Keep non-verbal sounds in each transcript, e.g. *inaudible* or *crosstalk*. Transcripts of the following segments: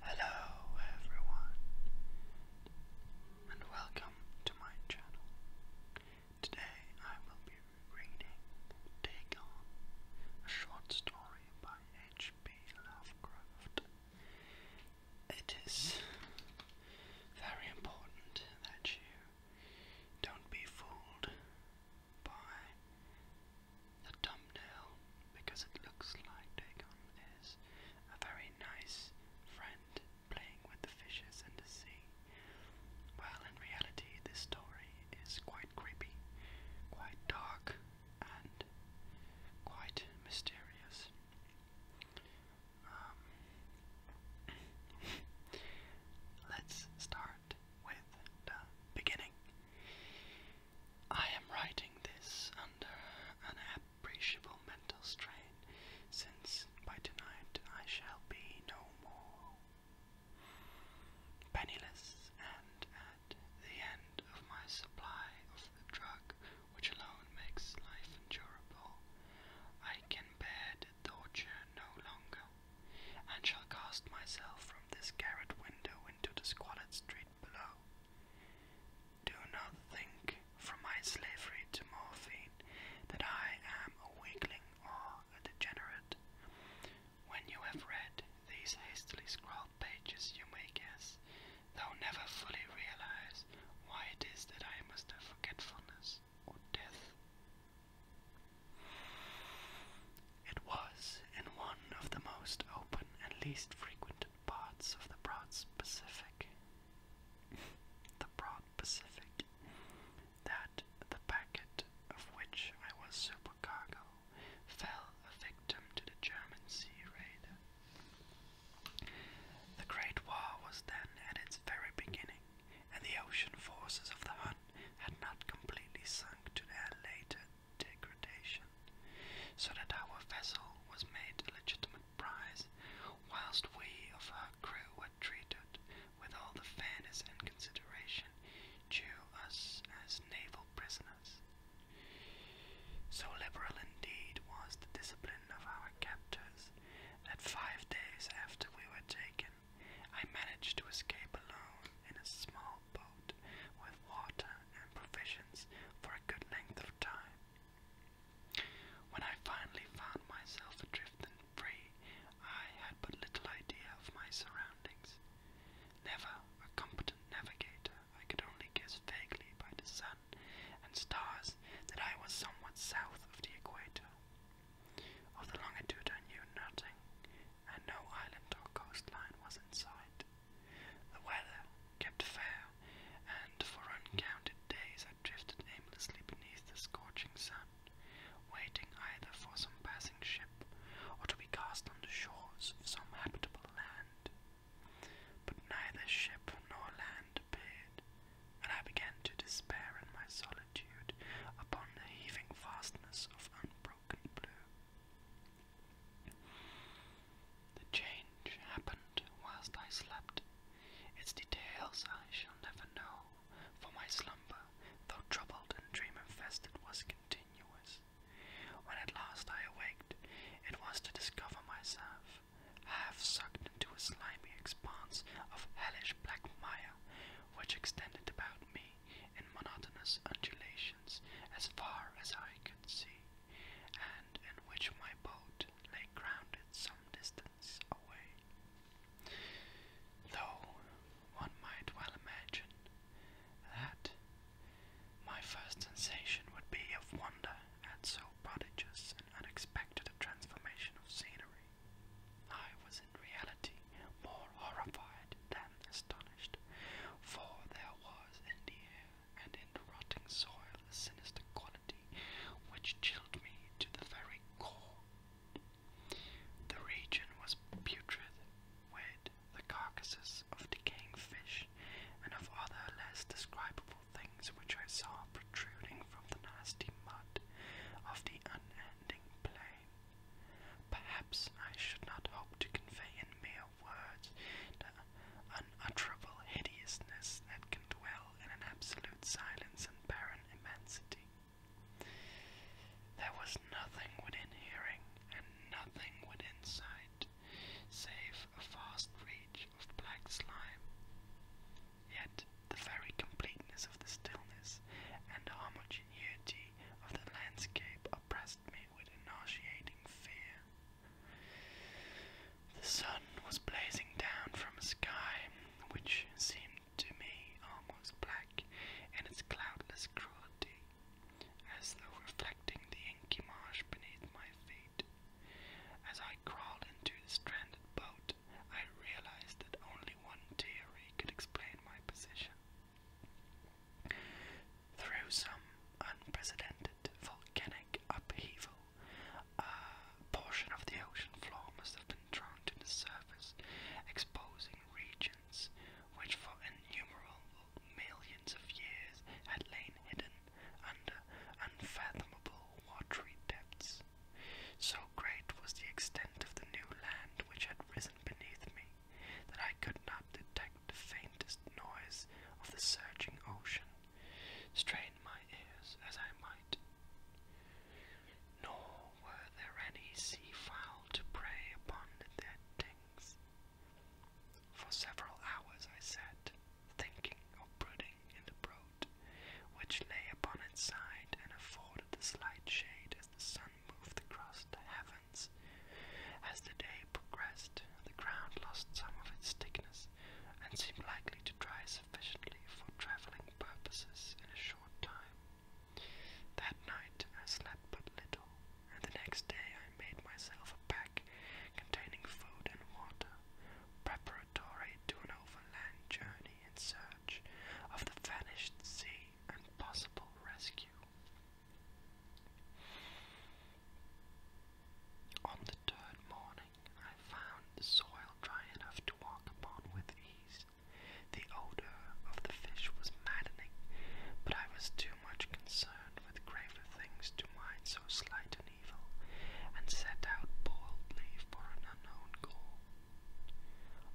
Hello everyone and welcome to my channel. Today I will be reading Take On, a short story by H.P. Lovecraft. It is very important that you don't be fooled by the thumbnail because it looks like Dagon is a very nice friend playing with the fishes in the sea. Well, in reality, this story is quite creepy, quite dark, and quite mysterious. Um, *laughs* let's start with the beginning. I am writing this under an appreciable mental strain, since by tonight I shall be no more. Penniless, and at the end of my supply of the drug which alone makes life endurable, I can bear the torture no longer, and shall cast myself from this garret window into the squalid street below. Do not think from my slavery to morphine that I am a weakling or a degenerate. When you have read these hastily scrawled pages, you may guess, though never fully realize, why it is that I must have forgetfulness or death. It was in one of the most open and least frequent parts of the broad Pacific, the broad Pacific, that the packet of which I was supercargo fell a victim to the German sea raid. The Great War was then at its very beginning, and the ocean forces of the Hun had not completely sunk to their later degradation, so that our vessel was made a legitimate prize, whilst we of her crew were treated with all the fairness and consideration due us as naval prisoners. So liberal indeed was the discipline of our captors, that five days after we were taken, I managed to escape alone in a small boat with water and provisions for a good length of time. When I finally found myself adrift and free, I had but little idea of my surroundings. Never a competent navigator, I could only guess vaguely by the sun and stars that I was somewhat south of the equator. Of the longitude I knew nothing, and no island or coastline was in sight. The weather kept fair, and for uncounted days I drifted aimlessly beneath the scorching sun, waiting either for some passing ship or to be cast on the shores of some habitable land. But neither ship nor land appeared, and I began to despair in my solitude upon the heaving vastness of unbroken blue. The change happened whilst I slept. Its details I shall never know, for my slumber, though troubled and dream infested, was continuous. When at last I awaked, it was to discover myself, half sucked into a slimy expanse of hellish black mire, which extended about me in monotonous undulations as far as I could see and in which my boat lay grounded some distance away. Though one might well imagine that my first sensation would be of wonder at so prodigious and unexpected a transformation of scenery, I was in reality more horrified than astonished, for there was in the air and in the rotting soil a sinister quality which chilled me to the very core. The region was putrid with the carcasses of decaying fish and of other less describable things which I saw protruding from the nasty mud of the unending plain. Perhaps I should not hope to convey in mere words the unutterable hideousness that can dwell in an absolute silence and barren immensity. There was nothing within hearing and nothing within sight, save a vast reach of black slime. Yet the very completeness of the stillness and the homogeneity of the landscape oppressed me with a nauseating fear. The sun was blazing down from a sky which seemed to me almost black in its cloudless cruelty, as though reflecting the inky marsh beneath my feet. As I crawled into the stranded boat, I realized that only one theory could explain my position through some unprecedented volcanic upheaval, a portion of the ocean floor must have been drawn to the surface, exposing regions which for innumerable millions of years had lain hidden under unfathomable watery depths. So great was the extent of the new land which had risen beneath me that I could not detect the faintest noise of the surging ocean, strained my ears as I might. Nor were there any sea fowl to prey upon their things. For several hours I sat, thinking or brooding in the boat, which lay upon its side and afforded a slight shade as the sun moved across the heavens. As the day progressed, the ground lost some of its thickness and seemed likely to dry sufficiently for travelling purposes in a short time. That night I slept but little, and the next day I made myself a pack containing food and water, preparatory to an overland journey in search of the vanished sea and possible rescue. On the third morning, I found the soil dry enough to walk upon with ease. The odor of the fish was maddening, but I was too much concerned with graver things to mind so slight an evil, and set out boldly for an unknown goal.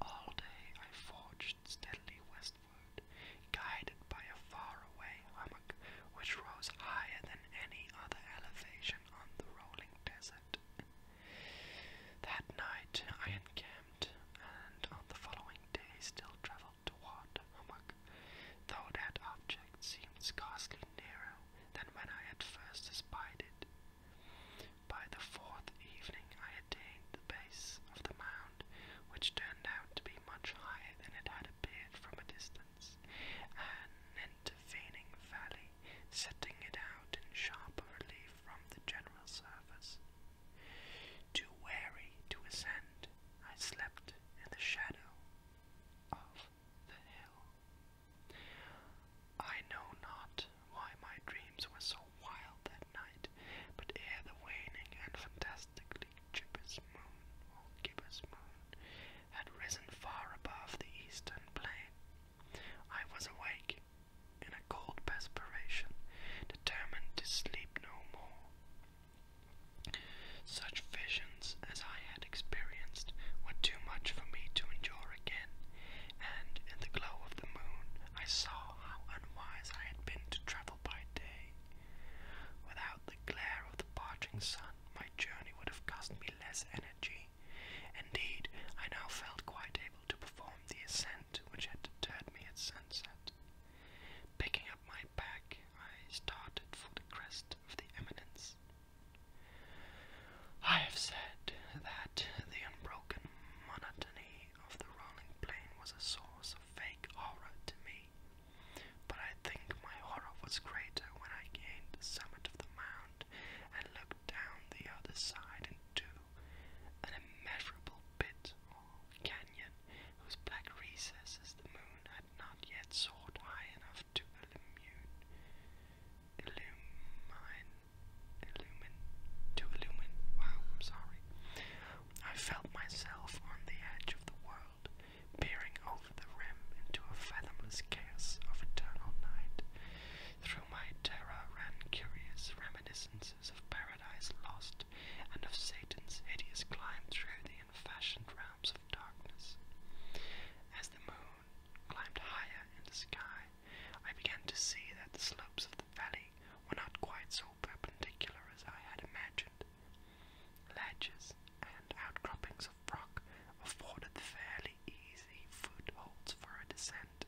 All day I forged steadily westward, guided by a far off away hummock which rose higher than any other elevation on the rolling desert. That night I encamped, and on the following day still travelled toward the hummock, though that object seemed scarcely nearer than when I had first espied it. By the fourth evening I attained the base of the mound, which turned out to be much higher than it had appeared from a distance, an intervening valley setting it out in sharper relief from the general surface. Too weary to ascend, I slept in the shadow of the hill. I know not why my dreams were so wild that night, but ere the waning and fantastically gibbous moon, or gibbous moon, had risen far above the eastern plain. I was awake, in a cold perspiration, determined to sleep no more. Such visions as I had experienced were too much for me to endure again, and in the glow of the moon I saw how unwise I had been to travel by day. Without the glare of the parting sun, my journey would have cost me less energy. Indeed, I now felt quite able to perform the ascent which had deterred me at sunset. Picking up my pack, I started for the crest of the eminence. I have said that the unbroken monotony of the rolling plain was a source of vague horror to me. But I think my horror was greater when I gained the summit of the mound and looked down the other side into an immeasurable pit or canyon whose black recesses the moon had not yet soared high enough to illumine, illumine, illumine, to illumine. Wow, I'm sorry. I felt myself on the edge of the world, peering over the rim into a fathomless chaos of eternal night. Through my terror ran curious reminiscences of paradise lost and of Satan's hideous climb through the unfashioned realms of darkness. As the moon climbed higher in the sky, I began to see that the slopes of the valley were not quite so perpendicular as I had imagined. Ledges and outcroppings of rock afforded fairly easy footholds for a descent,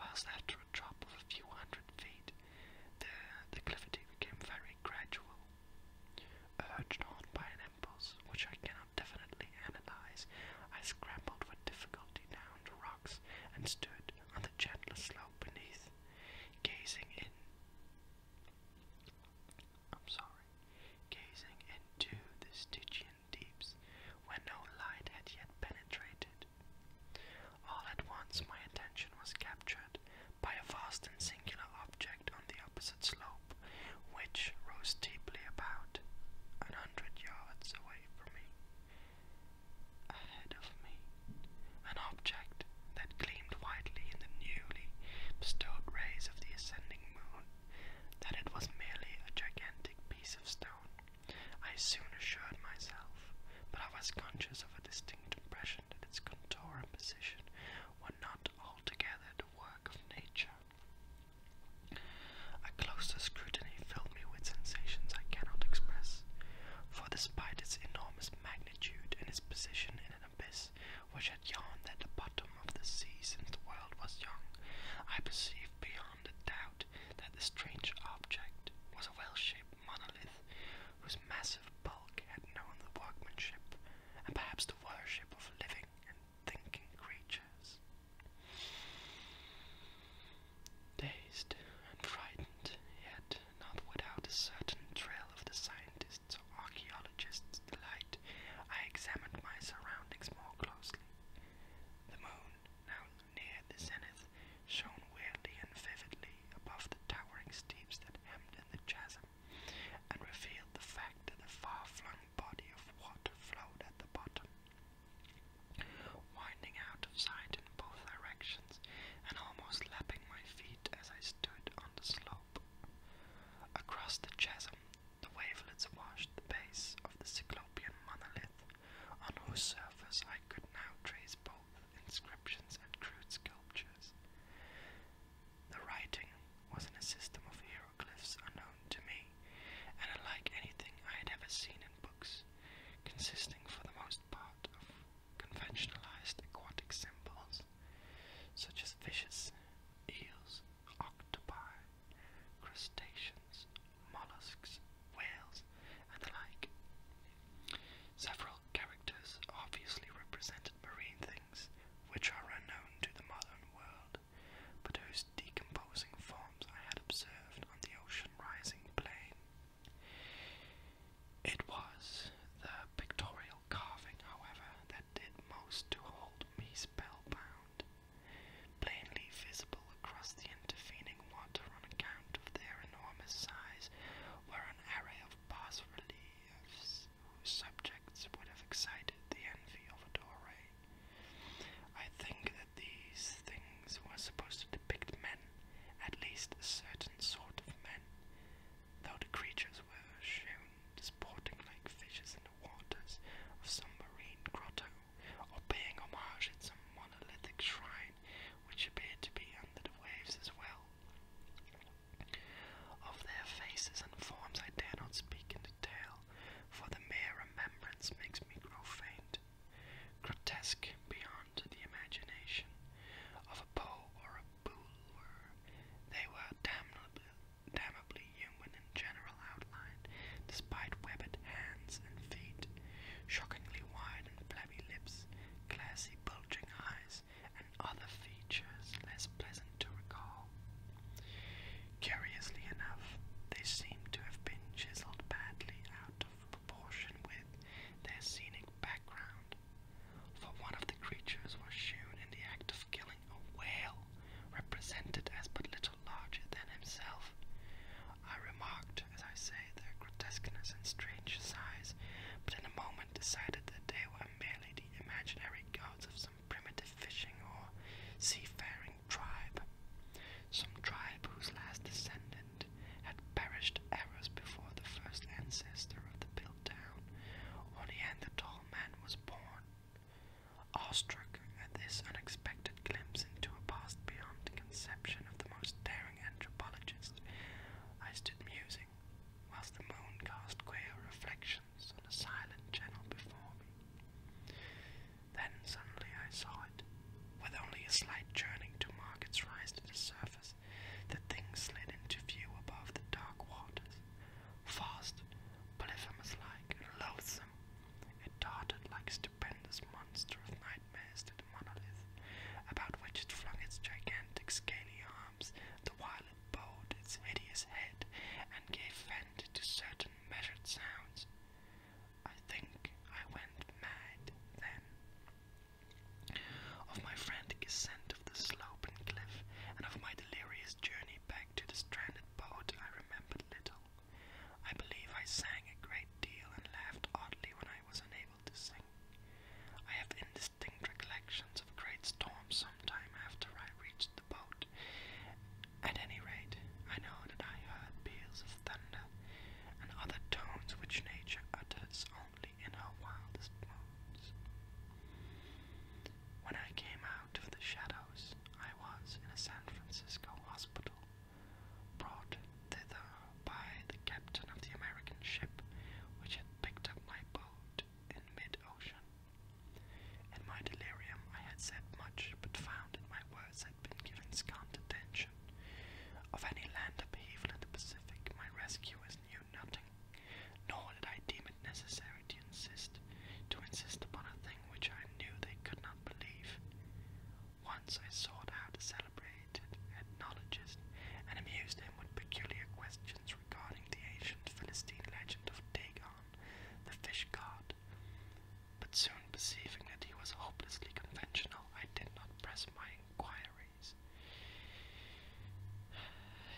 whilst after a drop of a few hundred feet, the declivity became very gradual. Urged on by an impulse which I cannot definitely analyze, I scrambled with difficulty down the rocks and stood on the gentler slope beneath, gazing in. I'm sorry, gazing into the Stygian deeps where no light had yet penetrated. All at once my attention was captured by a vast and singular object on the opposite slope, which rose steeply about an hundred yards away from me. Ahead of me, an object that gleamed whitely in the newly bestowed rays of the ascending moon that it was merely a gigantic piece of stone. I soon assured myself, but I was conscious of a distinct impression that its contour and position were not altogether the work of nature. A closer scrutiny filled me with sensations I cannot express, for despite its enormous magnitude and its position in an which had yawned at the bottom of the sea since the world was young, I perceived beyond a doubt that the strange object was a well-shaped monolith whose massive bulk had known the workmanship and perhaps the worship of living and thinking creatures. Dazed and frightened, yet not without a certain thrill of the scientist's archaeologist's delight, I examined my surroundings more closely. The moon, now near the zenith, shone weirdly and vividly above the towering steeps that hemmed in the chasm, and revealed the fact that a far-flung body of water flowed at the bottom, winding out of sight in both directions, and almost lapping my feet as I stood on the slope. Across the chasm, the wavelets washed the base of the Cyclopean monolith, on whose surface I could now trace both inscriptions and crude sculptures. The writing was in a system of hieroglyphs unknown to me, and unlike anything I had ever seen in books, consisting for the most part of conventionalized aquatic symbols, such as fishes, eels, octopi, crustaceans, mollusks, whales, and the like. Several characters obviously represented marine things which are unknown to the modern world, but whose decomposing forms I had observed on the ocean rising plain. It was the pictorial carving, however, that did most to hold me spellbound plainly visible across the intervening water on account of their enormous size, were an array of bas-reliefs whose subjects would have excited the envy of a Doré. I think that these things were supposed to depict men, at least a certain sort of men, though the creatures were shown sporting like fishes and waters of some marine grotto, or paying homage at some monolithic shrine which appeared to be under the waves as well. Of their faces and forms I dare not speak in detail, for the mere remembrance makes me grow faint. Grotesque beyond the imagination of a Poe or a Bulwer, they were damnable, damnably human in general outline, despite webbed hands and feet, shockingly wide and flabby lips, glassy bulging eyes, and other features less pleasant to recall. Curiously enough, they seem to have been chiseled badly out of proportion with their scenic background, for one of the creatures was shown in the act of killing a whale represented as but little larger than himself. I remarked, as I say, their grotesqueness and strange size, but in a moment decided that they were merely the imaginary gods of some primitive fishing or seafaring tribe, some tribe whose last descendant had perished eras before the first ancestor of the built town, or the end the tall man was born. Awestruck at this unexpected glimpse into a past beyond the conception of the most daring anthropologist, I stood musing, whilst the moon cast queer reflections on the silent channel before me. Then suddenly I saw it, with only a slight churning to mark its rise to the surface, the thing slid into view above the dark waters, fast, polyphemus-like, and loathsome, it darted like a stupendous monster of nightmares to the monolith, about which it flung its gigantic scaly arms, the while it bowed its hideous head and gave vent to certain measured sounds. I think I went mad then. Of my frantic descent of the slope and cliff, and of my delirious journey back to the stranded boat, I remember little. I believe I sang a great deal and laughed oddly when I was unable to sing. I have indistinct recollections of a great storm some time after I reached the boat. At any rate, I know that I heard peals of thunder and other tones which nature utters only in her wildest moods. When I came out of the shadows, I was in a San Francisco hospital, brought thither by the captain of the American ship which had picked up my boat in mid-ocean. In my delirium I had said much, but found that my words had been given scant attention. Of any land upheaval in the Pacific, my rescuers knew nothing, nor did I deem it necessary to insist to insist upon a thing which I knew they could not believe. Once I sought out to celebrate ethnologist and amused him with peculiar questions regarding the ancient Philistine legend of Dagon, the fish god. But soon perceiving that he was hopelessly conventional, I did not press my inquiries.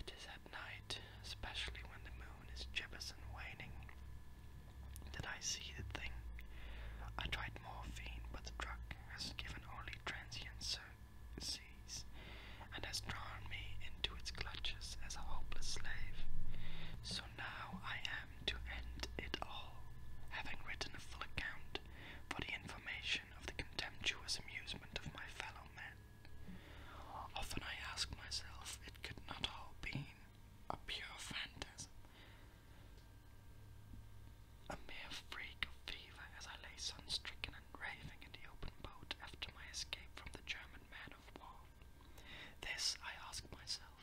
It is at night, especially when the moon its as Jefferson Whiting. Did I see the thing? I tried morphine, but the drug has given only transient surges, and has drawn me into its clutches as a hopeless slave. So now I am to end it all, having written a full account for the information of the contemptuous amusement of my fellow men. Often I ask myself, it could not all be a pure phantasm. A mere freak of fever as I lay sun and raving in the open boat after my escape from the German man of war. This I ask myself,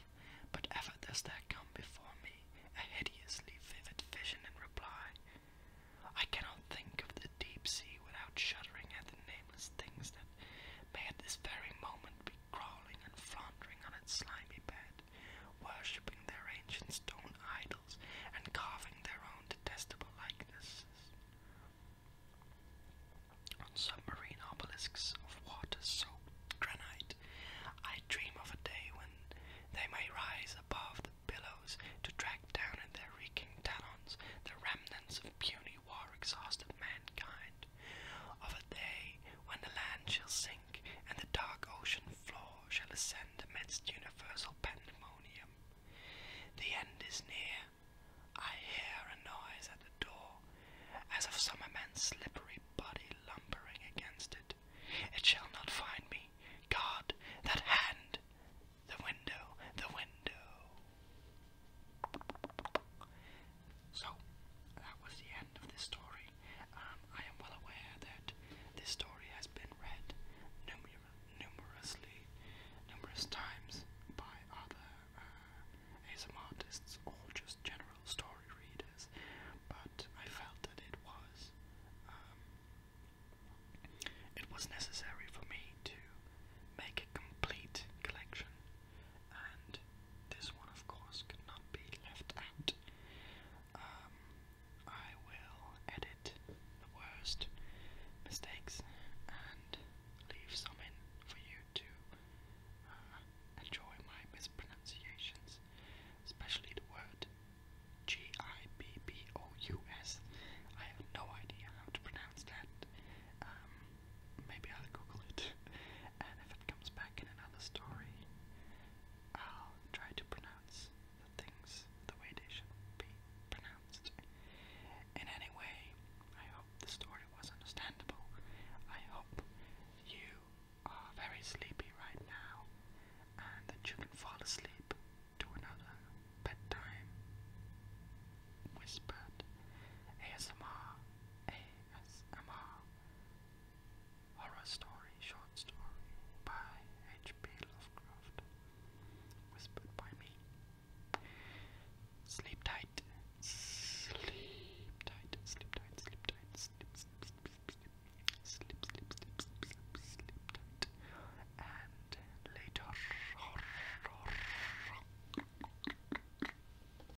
but ever does there come before me a hideously vivid vision in reply. I cannot think of the deep sea without shuddering at the nameless things that may at this very moment be crawling and floundering on its slimy bed, worshipping their ancient stone idols and carving their own detestable likenesses. On submarine obelisks of water-soaked granite, I dream of a day when they may rise above the billows to drag down in their reeking talons the remnants of puny war-exhausted mankind, of a day when the land shall sink and the dark ocean floor shall ascend amidst universal pandemonium. The end is near. I hear a noise at the door, as of some immense slippery body lumbering against it. It shall not find me. God, that hand! The window, the window. So, that was the end of this story. Um, I am well aware that this story has been read numerously, numerous times by other uh, artists or just general story readers, but I felt that it was um, it was necessary for me to make a complete collection and this one, of course, could not be left out. Um, I will edit the worst mistakes and leave some in for you to uh, enjoy my mispronunciations, especially the word G I B B O U S. I have no idea how to pronounce that. Um, maybe I'll Google it, and if it comes back in another story, I'll try to pronounce the things the way they should be pronounced. In any way, I hope the story was understandable. I hope you are very sleepy right now, and that you can fall asleep to another bedtime whispered ASMR is horror story, short story by H.P. Lovecraft, whispered by me. Sleep tight, sleep tight, sleep tight, sleep tight, sleep, sleep, sleep, sleep, sleep, sleep, sleep, sleep, sleep tight, and later.